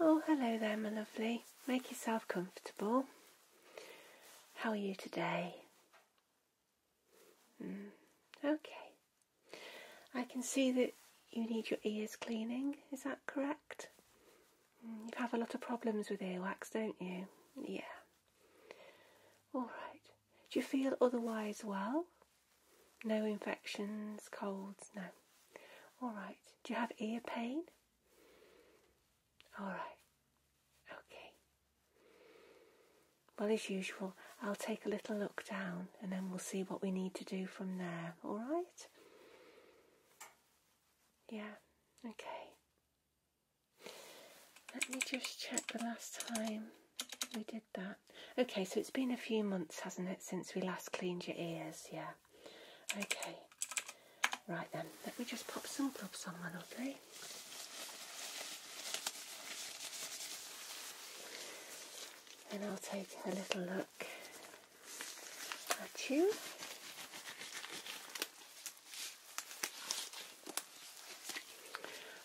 Oh, hello there, my lovely. Make yourself comfortable. How are you today? Mm. Okay. I can see that you need your ears cleaning, is that correct? Mm, you have a lot of problems with earwax, don't you? Yeah. Alright. Do you feel otherwise well? No infections, colds, no. Alright. Do you have ear pain? Alright. Okay. Well, as usual, I'll take a little look down and then we'll see what we need to do from there, all right? Yeah, okay. Let me just check the last time we did that. Okay, so it's been a few months, hasn't it, since we last cleaned your ears? Yeah. Okay. Right then, let me just pop some gloves on, my lovely. And I'll take a little look at you.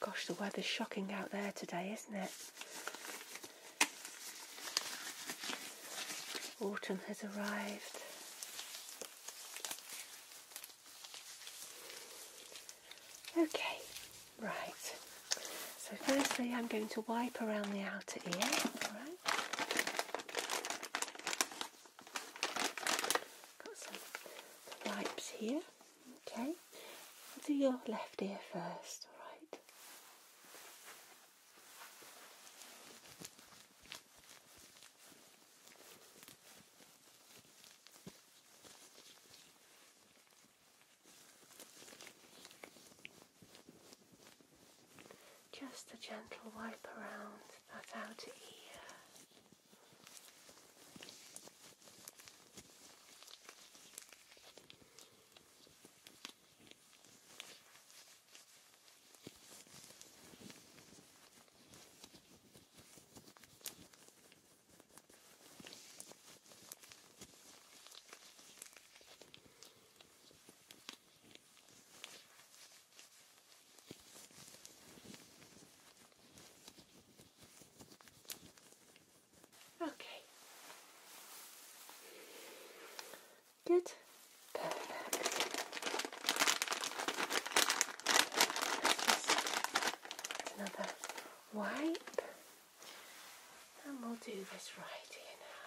Gosh, the weather's shocking out there today, isn't it? Autumn has arrived. Okay, right. So firstly I'm going to wipe around the outer ear, alright? Got some wipes here. Okay. do your left ear first, alright? Just a gentle wipe around that outer ear. Okay. Good. Perfect. another wipe and we'll do this right here now.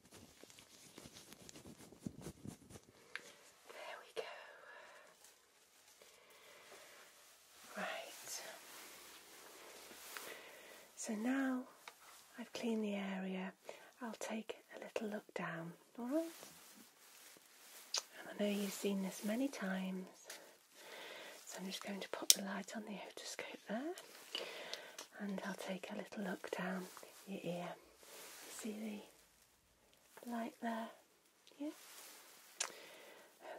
There we go. Right. So now I've cleaned the area, I'll take a little look down, alright? And I know you've seen this many times, so I'm just going to put the light on the otoscope there and I'll take a little look down your ear. You see like there. Yeah?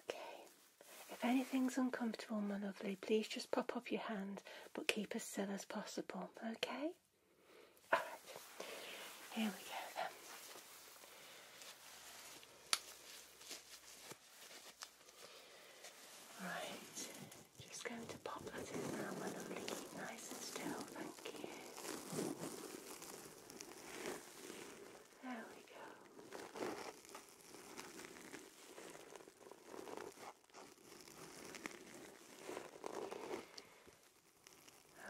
Okay. If anything's uncomfortable, my lovely, please just pop up your hand but keep as still as possible, okay? Alright. Here we go then. just going to pop that in now, my lovely. nice and still, thank you. There we go.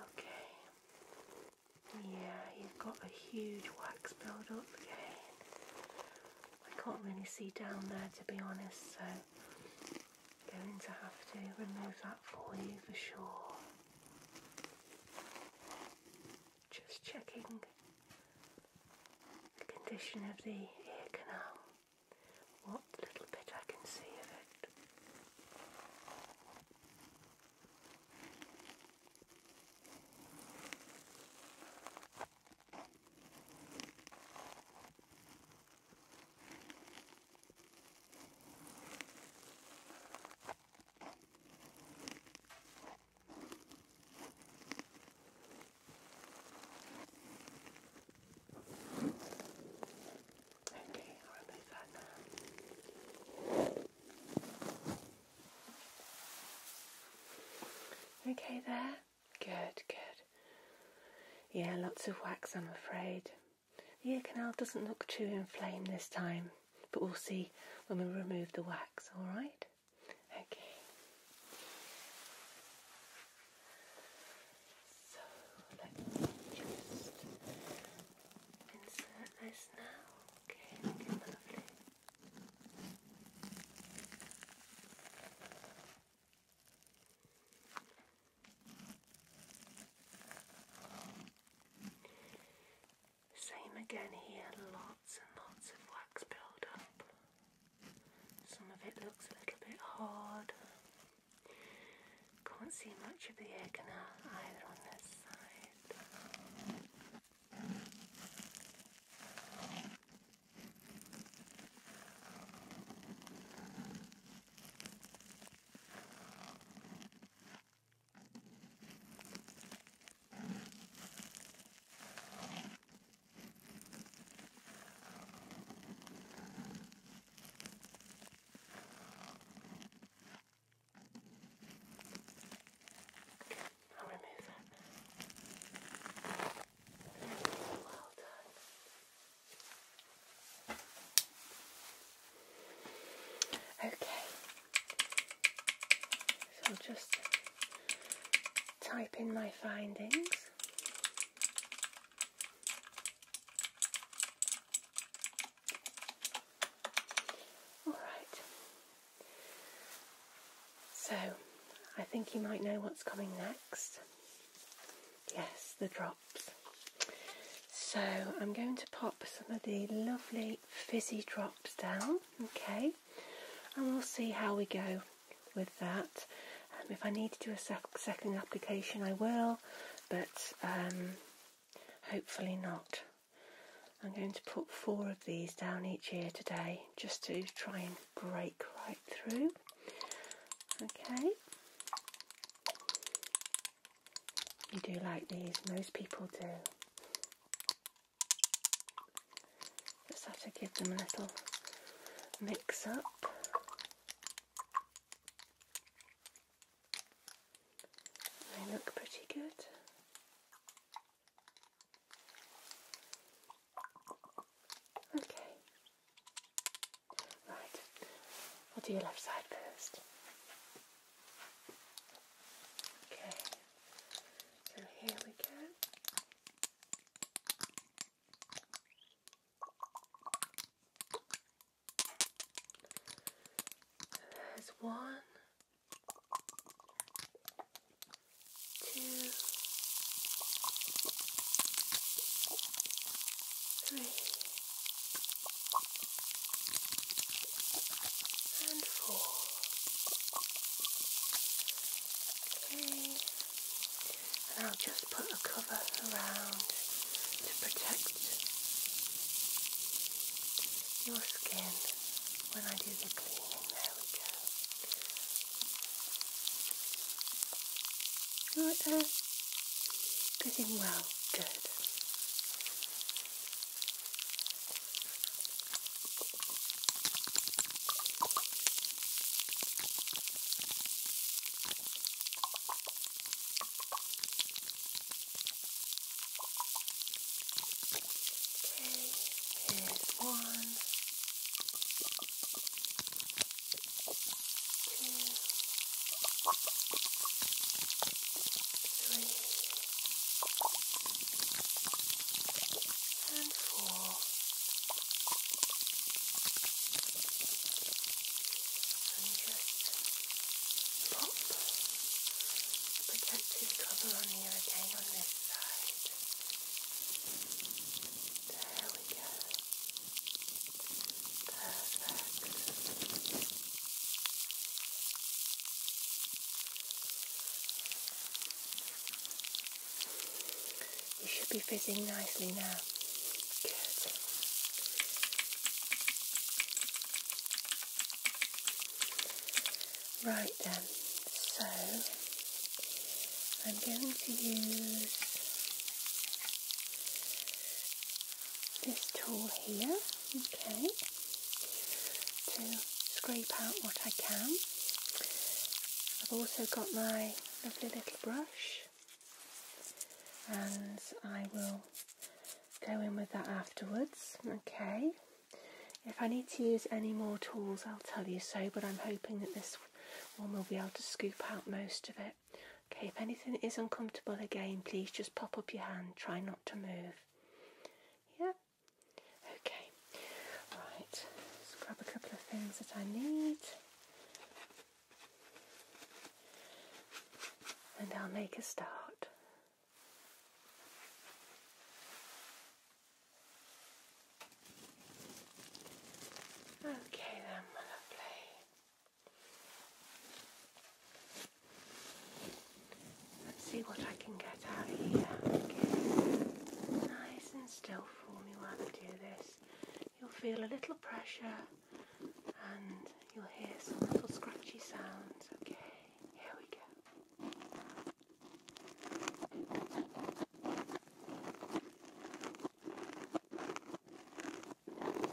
Okay. Yeah, you've got a huge wax build up again. I can't really see down there to be honest, so going to have to remove that for you for sure. Just checking the condition of the ear canal, what little bit I can see of it. Okay, I'll leave Okay, there. Good, good. Yeah, lots of wax, I'm afraid. The ear canal doesn't look too inflamed this time, but we'll see when we remove the wax, alright? Okay. So let's just insert this now. Okay, lovely. Same again here, lots and lots of wax build up. Some of it looks a little bit hard. Can't see much of the egg canal either on this side. I'll remove it. Well done. Okay, so I'll just type in my findings. All right, so I think you might know what's coming next. Yes, the drop. So I'm going to pop some of the lovely fizzy drops down, okay, and we'll see how we go with that. Um, if I need to do a second application, I will, but um, hopefully not. I'm going to put four of these down each ear today just to try and break right through. Okay, you do like these, most people do. Just have to give them a little mix up. They look pretty good. Okay, Right, I'll do your left side first. Okay, so here we go. There's one, two, three and four. Okay. And I'll just put a cover around to protect your skin when I do the cleaning. There we go. You like that? Breathing well. Good. Okay, here's one three, and four. And just pop the protective cover on you again on this side. There we go. Perfect. You should be fizzing nicely now. Good. Right then, so I'm going to use this tool here, okay, to scrape out what I can. I've also got my lovely little brush and I will go in with that afterwards, okay. If I need to use any more tools I'll tell you so, but I'm hoping that this one will be able to scoop out most of it. Okay, if anything is uncomfortable again, please just pop up your hand. Try not to move. Yeah? Okay. Right, let's grab a couple of things that I need. And I'll make a start. Okay then, my lovely. Let's see what I can get out of here. Nice and still for me while I do this. You'll feel a little pressure and you'll hear some little scratchy sounds. Okay, here we go.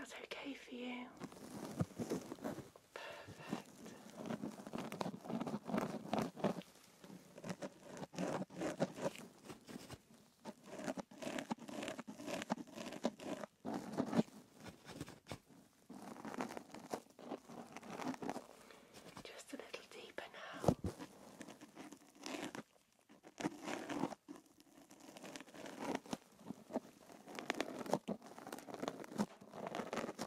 Is that okay for you? Perfect. Just a little deeper now.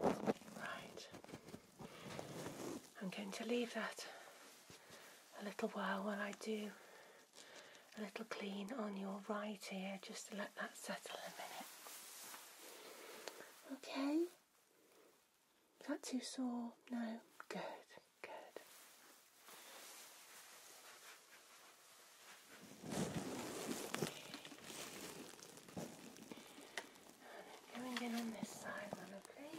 Right. I'm going to leave that a little while while I do a little clean on your right ear just to let that settle a minute. Okay? Is that too sore? No? Good, good. Come and get on this side one, okay?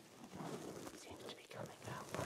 Seems to be coming out well.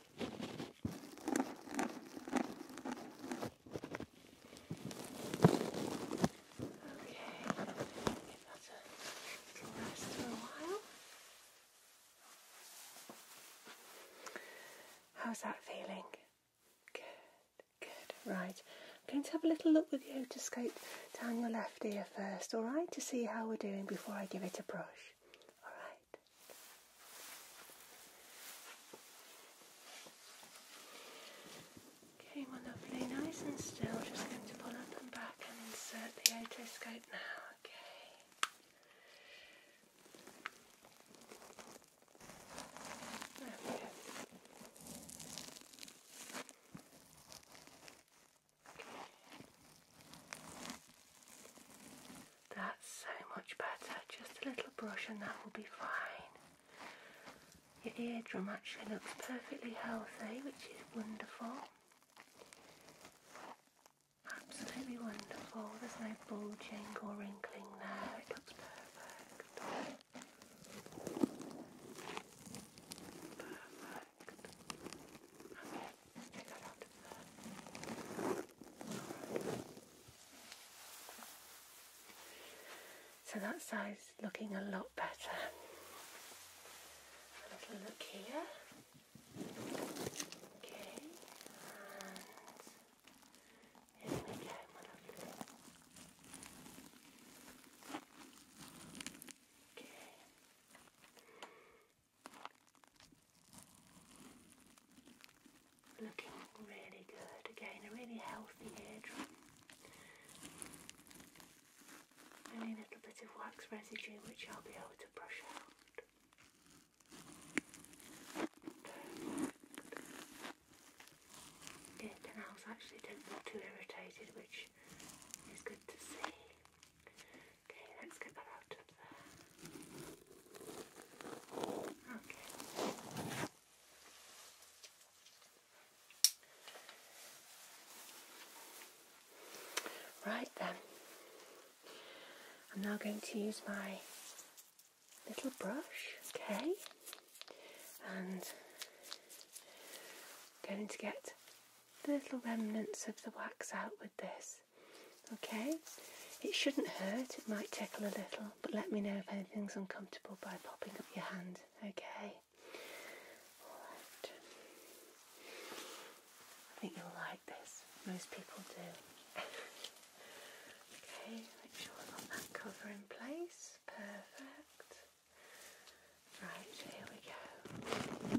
that'll last for a while. How's that feeling? Good, good. Right, I'm going to have a little look with you to otoscope down your left ear first, all right, to see how we're doing before I give it a brush. All right. Okay, my nice and still. Just going to pull up and back and insert the otoscope now. Okay. That's so much better. Just a little brush and that will be fine. Your eardrum actually looks perfectly healthy, which is wonderful. Absolutely wonderful. There's no bulging or wrinkling there. It looks perfect. So that side's looking a lot better. A little look here. Okay, and here we go, Okay looking really good. Again, a really healthy Only a little bit of wax residue which I'll be able to brush out. The canals actually don't look too irritated, which is good to see. Okay, let's get that out of there. Right then, I'm now going to use my little brush, okay, and going to get the little remnants of the wax out with this. Okay? It shouldn't hurt, it might tickle a little, but let me know if anything's uncomfortable by popping up your hand, okay? I think you'll like this. Most people do. okay, make sure I've got that cover in place. Perfect. Right, here we go.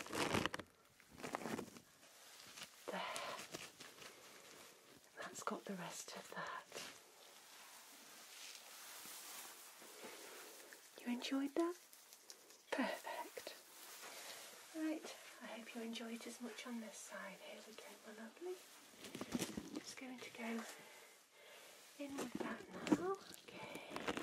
There. that's got the rest of that. You enjoyed that? Perfect. Right, I hope you enjoyed as much on this side. Here we go, my lovely. I'm just going to go in with that now. Okay.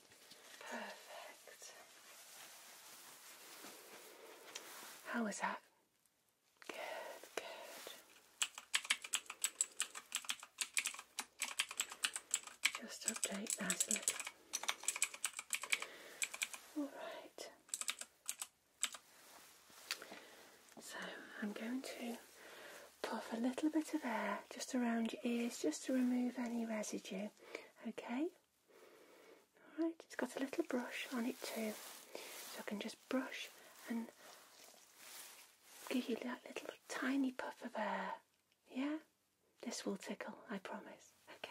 Perfect. How is that? Good, good. Just update that All right. So I'm going to puff a little bit of air just around your ears just to remove any residue, okay? Alright, it's got a little brush on it too, so I can just brush and give you that little tiny puff of air. Yeah? This will tickle, I promise. Okay.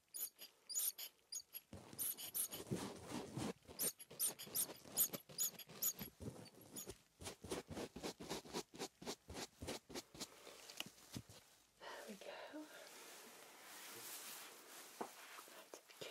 There we go. That's good.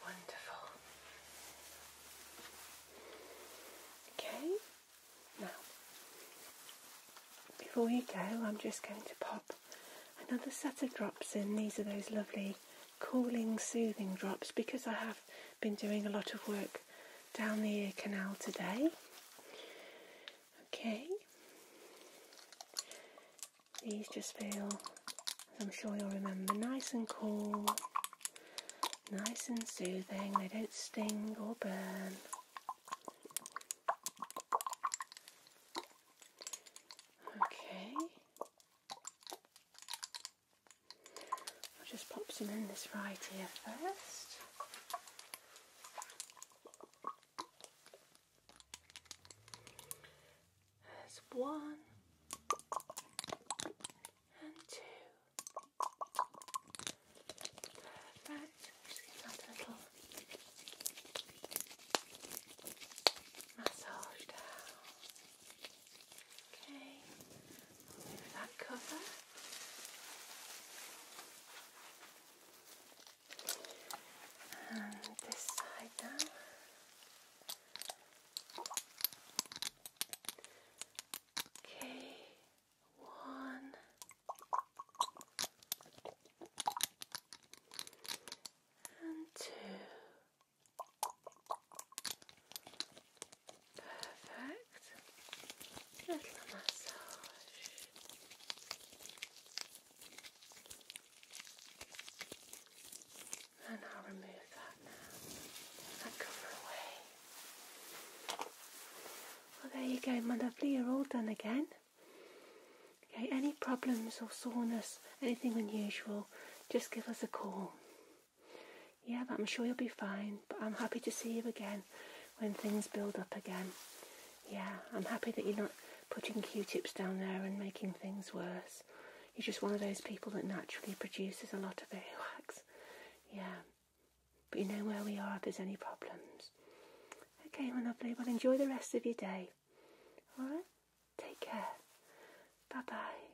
Wonderful. Okay, now before you go, I'm just going to pop another set of drops in. These are those lovely cooling, soothing drops because I have been doing a lot of work down the ear canal today. Okay, these just feel, I'm sure you'll remember, nice and cool, nice and soothing, they don't sting or burn. Okay. I'll just pop some in this right here first. There's one and two. Perfect. Just give that a little massage down. Okay, move that cover. And this side now. Okay, one. And two. Perfect. Little massage. And I'll remove that now. That cover away. Well, there you go, my lovely. You're all done again. Okay, any problems or soreness, anything unusual, just give us a call. Yeah, but I'm sure you'll be fine. But I'm happy to see you again when things build up again. Yeah, I'm happy that you're not putting Q-tips down there and making things worse. You're just one of those people that naturally produces a lot of earwax. Yeah. But you know where we are if there's any problems. Okay, my lovely. Well, enjoy the rest of your day. All right? Take care. Bye-bye.